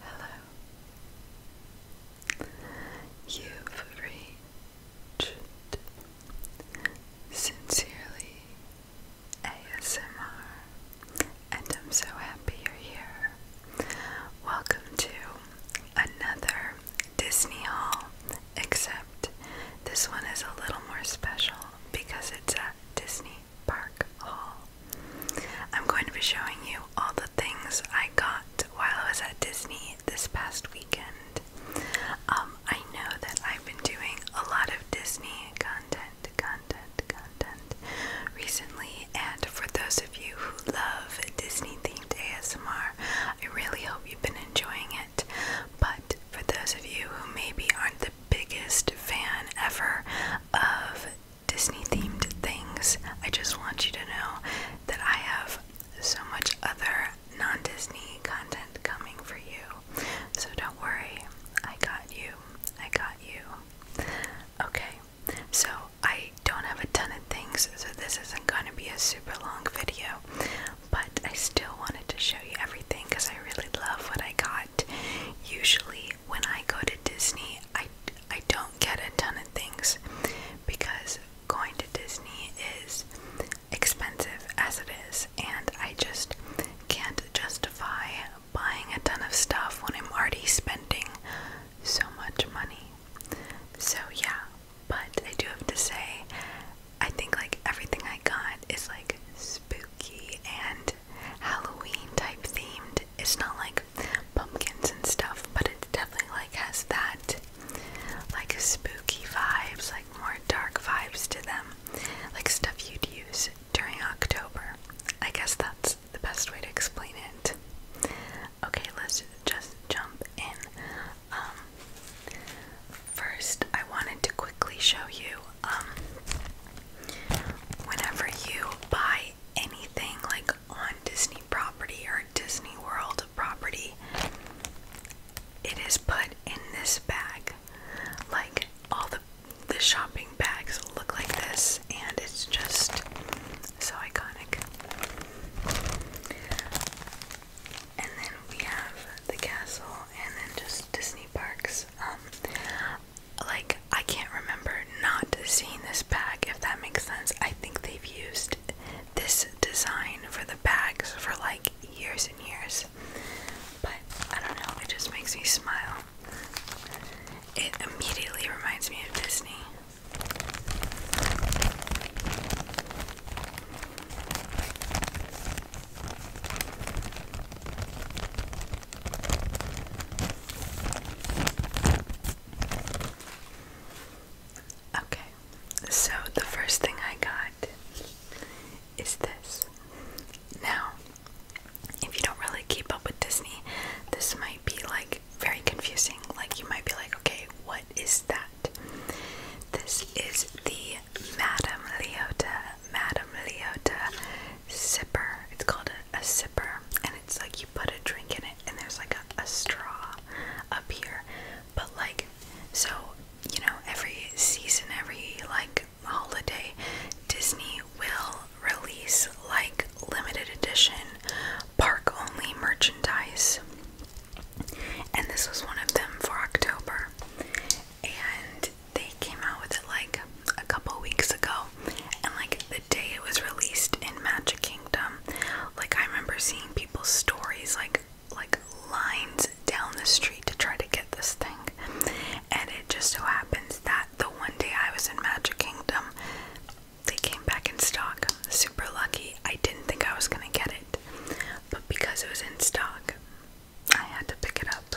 Hello. You've reached Sincerely ASMR, and I'm so happy you're here. Welcome to another Disney Hall. except this one is a little more special because it's at Disney Park Hall. I'm going to be showing you all the things I got while I was at Disney this past weekend. Um, I know that I've been doing a lot of Disney content, content, content recently, and for those of you who love Disney themed ASMR, I really hope you've been enjoying it. But for those of you who maybe aren't the biggest fan ever of Disney themed things. I just want you to know that I have so much other non Disney content coming for you. So don't worry, I got you. I got you. Okay, so I don't have a ton of things, so this isn't going to be a super long video, but I still wanted to show you everything because I really love what I got. Usually, when I go to Disney, I, I don't get a ton of things because going to Disney is expensive as it is, and I just can't justify buying a ton of stuff when I'm already spending so much money. So, yeah, but I do have to say, I think like everything I got is like spooky and Halloween type themed. It's not like pumpkins and stuff, but it definitely like has that like spooky vibes, like more dark vibes to them. Like stuff you'd use during October. I guess that's the best way to explain it. Okay, let's just jump in. Um, first, I wanted to quickly show you um, whenever you buy anything like on Disney property or Disney World property, it is put in this bag. Like all the shopping bags look like this, and it's just so iconic. And then we have the castle, and then just Disney parks. Um, like I can't remember not seeing this bag if that makes sense. I think they've used this design for the bags for like years and years. But I don't know, it just makes me smile. It immediately reminds me of Disney. Okay, so the first thing I got is this. Now, if you don't really keep up with Disney, this might be like very confusing. Like, you might be like, okay, what is that? This is the Madame Leota, Madame Leota Zipper. It's called a a zipper, and it's like you put a drink in it, and there's like a straw up here. But like, so you know, every season, every like holiday, Disney will release like limited edition park only merchandise, and this was one of them for October. And they came out with it like a couple weeks ago, and like the day it was released in Magic Kingdom, like I remember seeing people's stories, like like lines down the street to try to get this thing, and it just so happens that the one day I was in Magic Kingdom, they came back in stock. Super lucky. I didn't think I was gonna get it, but because it was in stock, I had to pick it up.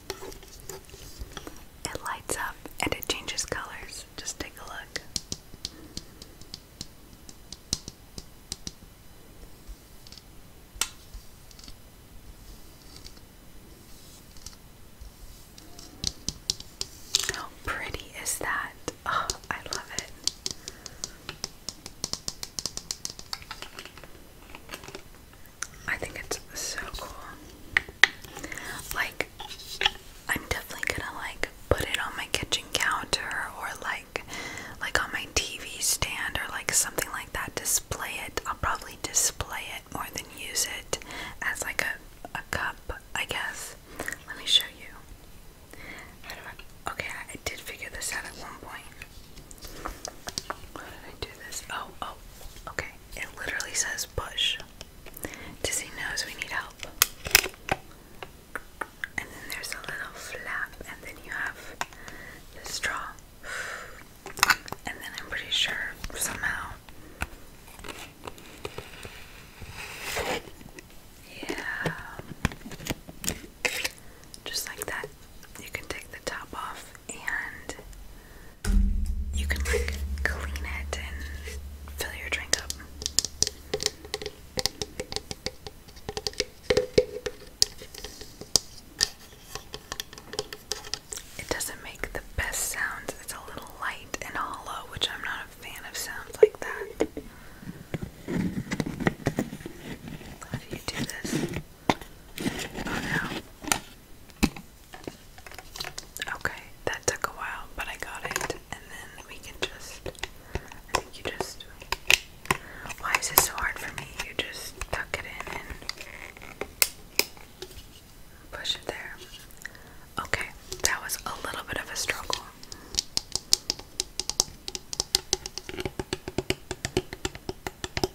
It lights up and it changes colors. Just take a look. How pretty is that? Oh, I love it. I think it's so cool. Like, I'm definitely gonna like put it on my kitchen counter or like like on my TV stand or like something like that. Display it. I'll probably display it more than use it as like a, a cup, I guess. Let me show you. okay, I did figure this out at one point. How did I do this? Oh, oh, okay. It literally says push. he knows we need help. And then there's a little flap, and then you have the straw. And then I'm pretty sure somehow. Yeah. Just like that. You can take the top off and you can like clean it and fill your drink up. It doesn't make the best sounds, it's a little light and hollow, which I'm not a fan of sounds like that. How do you do this? Oh no. Okay, that took a while, but I got it. And then we can just, I think you just, why is this so hard for me? You just tuck it in and push it there. Okay, that was a little bit of a struggle.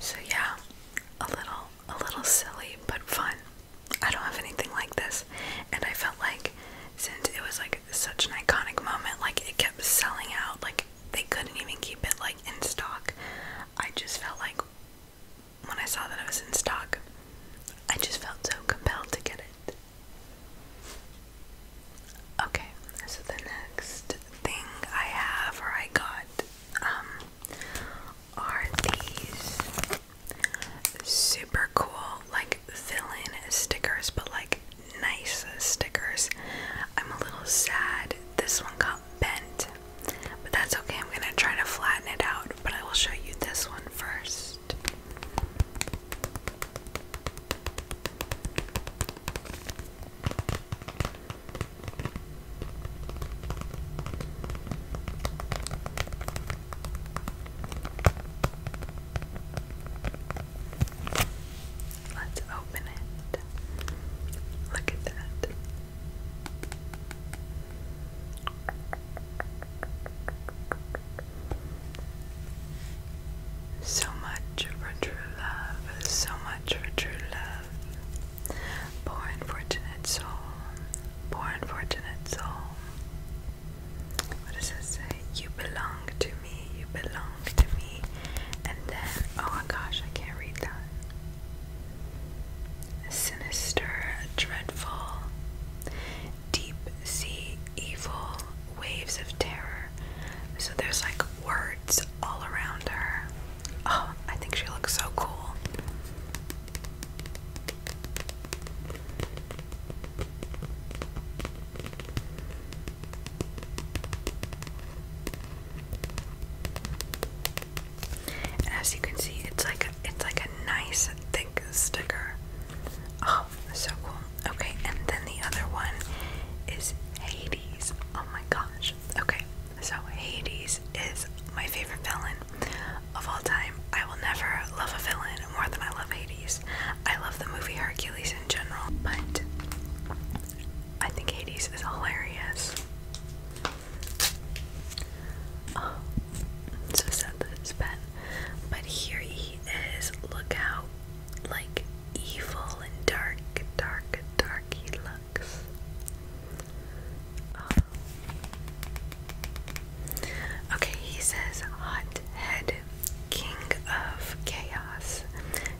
So yeah, a little a little silly but fun. I don't have anything like this, and I felt like since it was like such an iconic moment, like it kept selling out, like they couldn't even keep it like in stock. I just felt like when I saw that I was in stock, I just felt so compelled to get it. Okay, so the next thing I have or I got um, are these super cool, like villain stickers, but like nice stickers. I'm a little sad this one got bent, but that's okay. I'm gonna try to flatten it out, but I will show you this one first. Let's open it. Look at that. So much for true love. So much for true love. Poor unfortunate soul. Poor unfortunate soul. What does it say? You belong to me. You belong to me. And then, oh my gosh, I can't read that. Sinister, dreadful, deep sea evil, waves of terror. So there's like words all around her. Oh, I think she looks so cool. as you can see, it's like it's like a nice thick sticker. Oh, so cool. Okay, and then the other one is Hades. Oh my gosh. Okay, so Hades is my favorite villain of all time. I will never love a villain more than I love Hades. I love the movie Hercules in general, but I think Hades is hilarious. Oh, so sad that it's Ben. But here he is. Look how, like, evil dark, dark, dark he looks. Um, okay, he says hot head, king of chaos,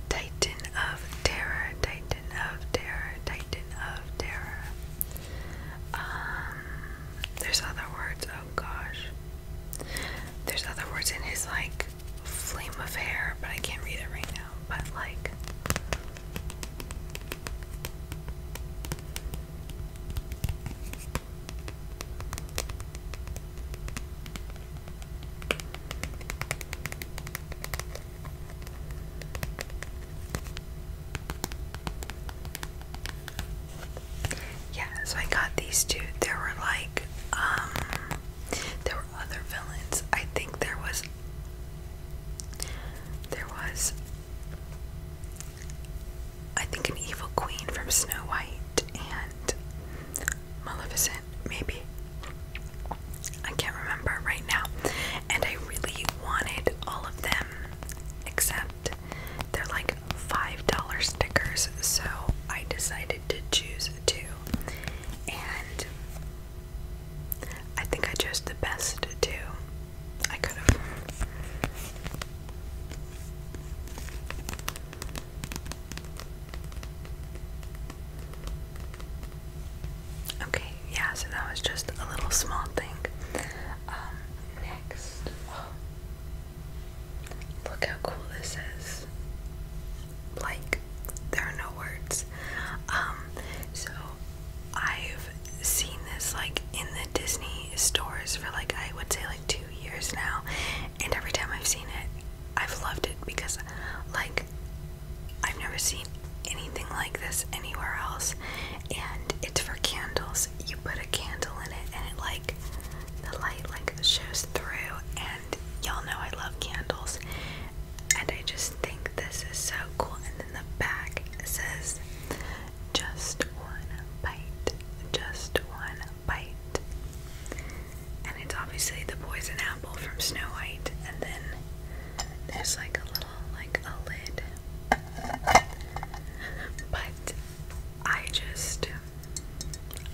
titan of terror, titan of terror, titan of terror. Um, there's other words, oh gosh. There's other words in his like flame of hair, but I can't read it right now. But like yeah, so I got these two. There were like, um, there were other villains. I think there was there was, I think, an evil queen from Snow White and Maleficent, maybe. I can't remember right now. And I really wanted all of them, except they're like $5 stickers, so I decided to choose two. And I think I chose the best too. I could have. Okay, yeah, so that was just a little small thing. Um, next. Look how cool this is. Like, there are no words. Um, so I've seen this like in the Disney stores for like I would say like two years now, and every time I've seen it, I've loved it because like I've never seen anything like this anywhere else, and it's for candles. You put a candle in it, and it like the light like shows through, and y'all know I love candles, and I just think this is so cool. And then the back says, just one bite, just one bite. And it's obviously the poison apple from Snow White, and then there's like a little, like a lid. But I just,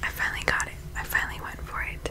I finally got it. I finally went for it.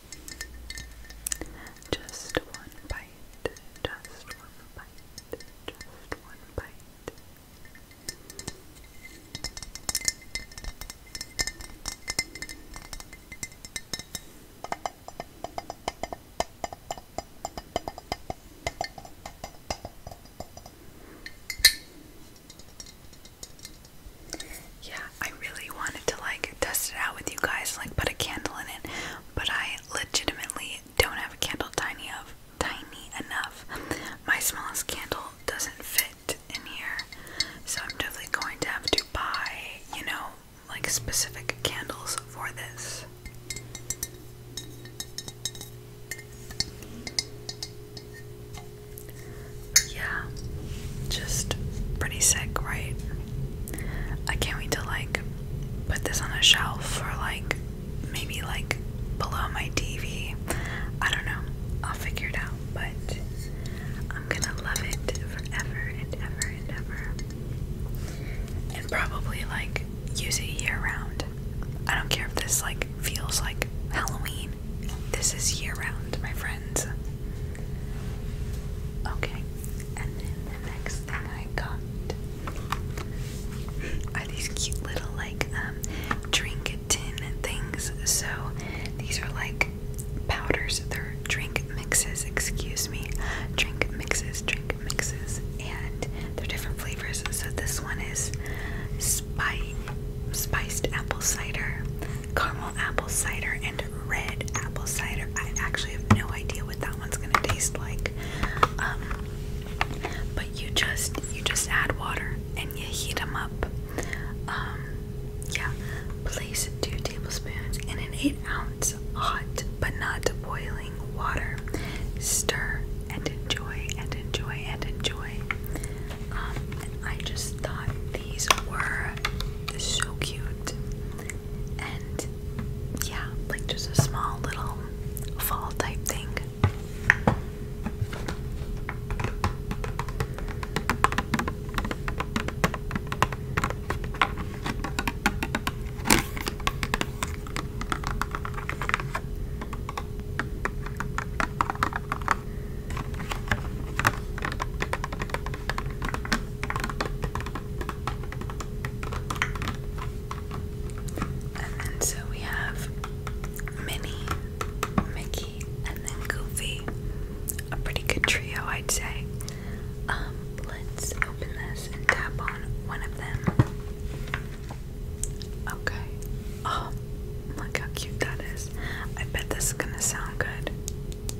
Just one bite, just one bite, just one bite. Yeah, I really wanted to like test it out with you guys, like put a candle in it, but I legitimately don't have a candle tiny of tiny enough. My smallest candle doesn't fit in here, so I'm definitely going to have to buy, you know, like specific candles for this yeah, just pretty sick, right? I can't wait to like put this on a shelf for like maybe like below my TV. I don't know. I'll figure it out, but I'm gonna love it forever and ever and ever. And probably like use it year round. I don't care if this like feels like Halloween. This is year round, my friends. Okay, and then the next thing I got are these cute little like um, drink tin things. So these are like powders, they're drink mixes, excuse me. Drink mixes, drink mixes, and they're different flavors. So this one is spiced apple cider caramel apple cider and red apple cider. I actually have no idea what that one's gonna taste like. Um, but you just you just add water and you heat them up. Um, yeah, place two tablespoons in an eight ounce hot but not boiling water. Stir and enjoy and enjoy and enjoy. Um, I just thought these were so cute. And yeah, like just a small little fall type thing. And then so we have Minnie, Mickey, and then Goofy. A pretty good trio, I'd say. Um, let's open this and tap on one of them. Okay. Oh, look how cute that is. I bet this is gonna sound good.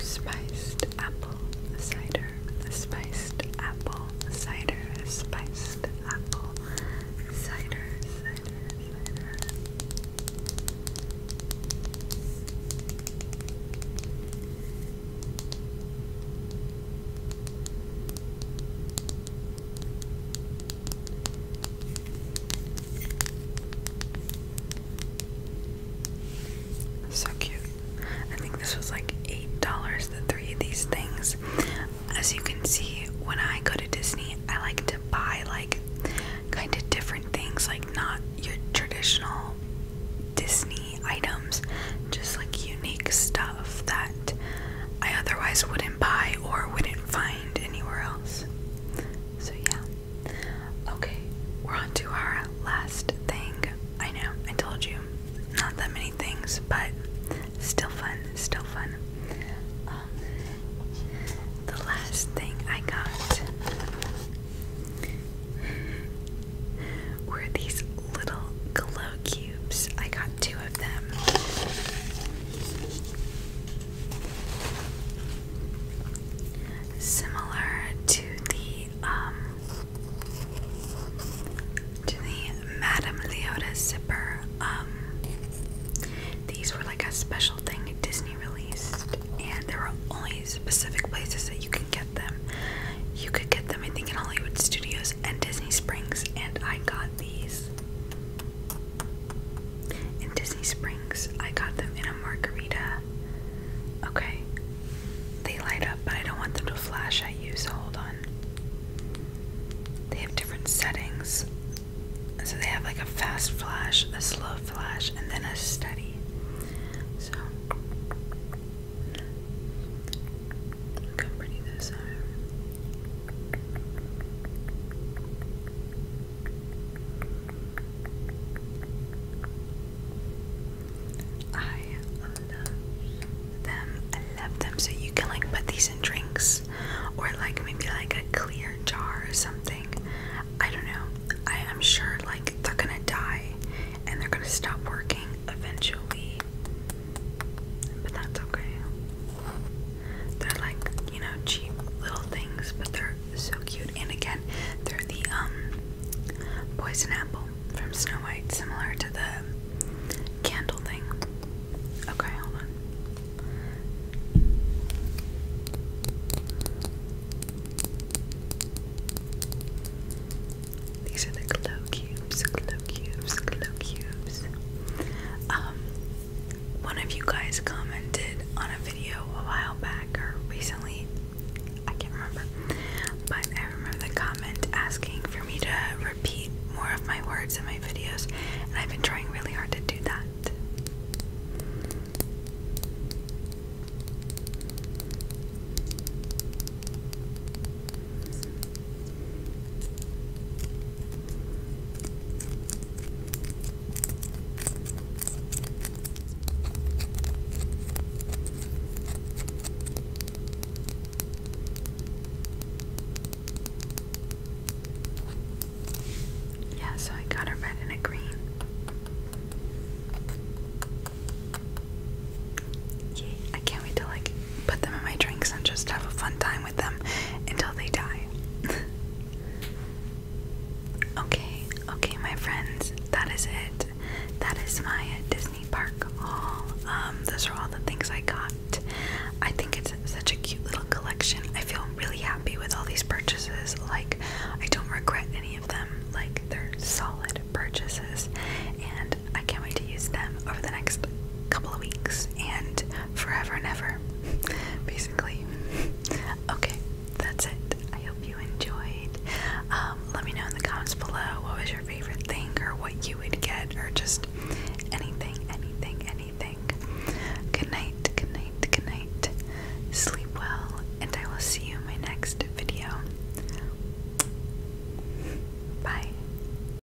Spiced apple cider, spiced apple cider, spiced apple cider, cider, cider. So cute. I think this was like $8, the three of these things. As you can see, when I go to Disney, I like to buy like kind of different things, like not your traditional Disney items, just like you unique stuff that I otherwise wouldn't buy or wouldn't find anywhere else. So, yeah. Okay, we're on to our last thing. I know, I told you, not that many things, but still fun, still fun. Um, the last thing I got were these little glow Cubes. I got two of them. Similar to the um, to the Madame Leota zipper. Um, these were like a special thing Disney released and there are only specific places that you can get them. You could get them I think in Hollywood Studios and Disney Springs and I got these in Disney Springs, I got them in a margarita. Okay, they light up, but I don't want them to flash I use so hold on. They have different settings. So they have like a fast flash, a slow flash, and then a steady. So I'm pretty this time. I love them. I love them. So you can like put these in drinks or like maybe like a clear jar or something. I don't know. I am sure like they're gonna die and they're gonna stop working eventually. But that's okay. They're like, you know, cheap little things, but they're so cute. And again, they're the um poison apple from Snow White, similar to the candle thing. Okay, hold on. These are the glow cubes, cubes, glow cubes. Um, one of you guys commented on a video a while back or recently, I can't remember, but I remember the comment asking for me to repeat more of my words in my videos, and I've been trying really hard to do that. Yeah, so I got a red and a green. Yay, I can't wait to like put them in my drinks and just have a fun time with them until they die. okay, okay, my friends, that is it. That is my Disney Park haul. Um, those are all the things I got. I think it's such a cute little collection. I feel really happy with all these purchases. Like, I don't regret any of them. Like, they're solid purchases. And I can't wait to use them over the next couple of weeks and forever and ever, basically. Okay, that's it. I hope you enjoyed. Um, let me know in the comments below what was your favorite thing or what you would get or just anything, anything, anything. Good night, good night, good night. Sleep well, and I will see you in my next video. Bye.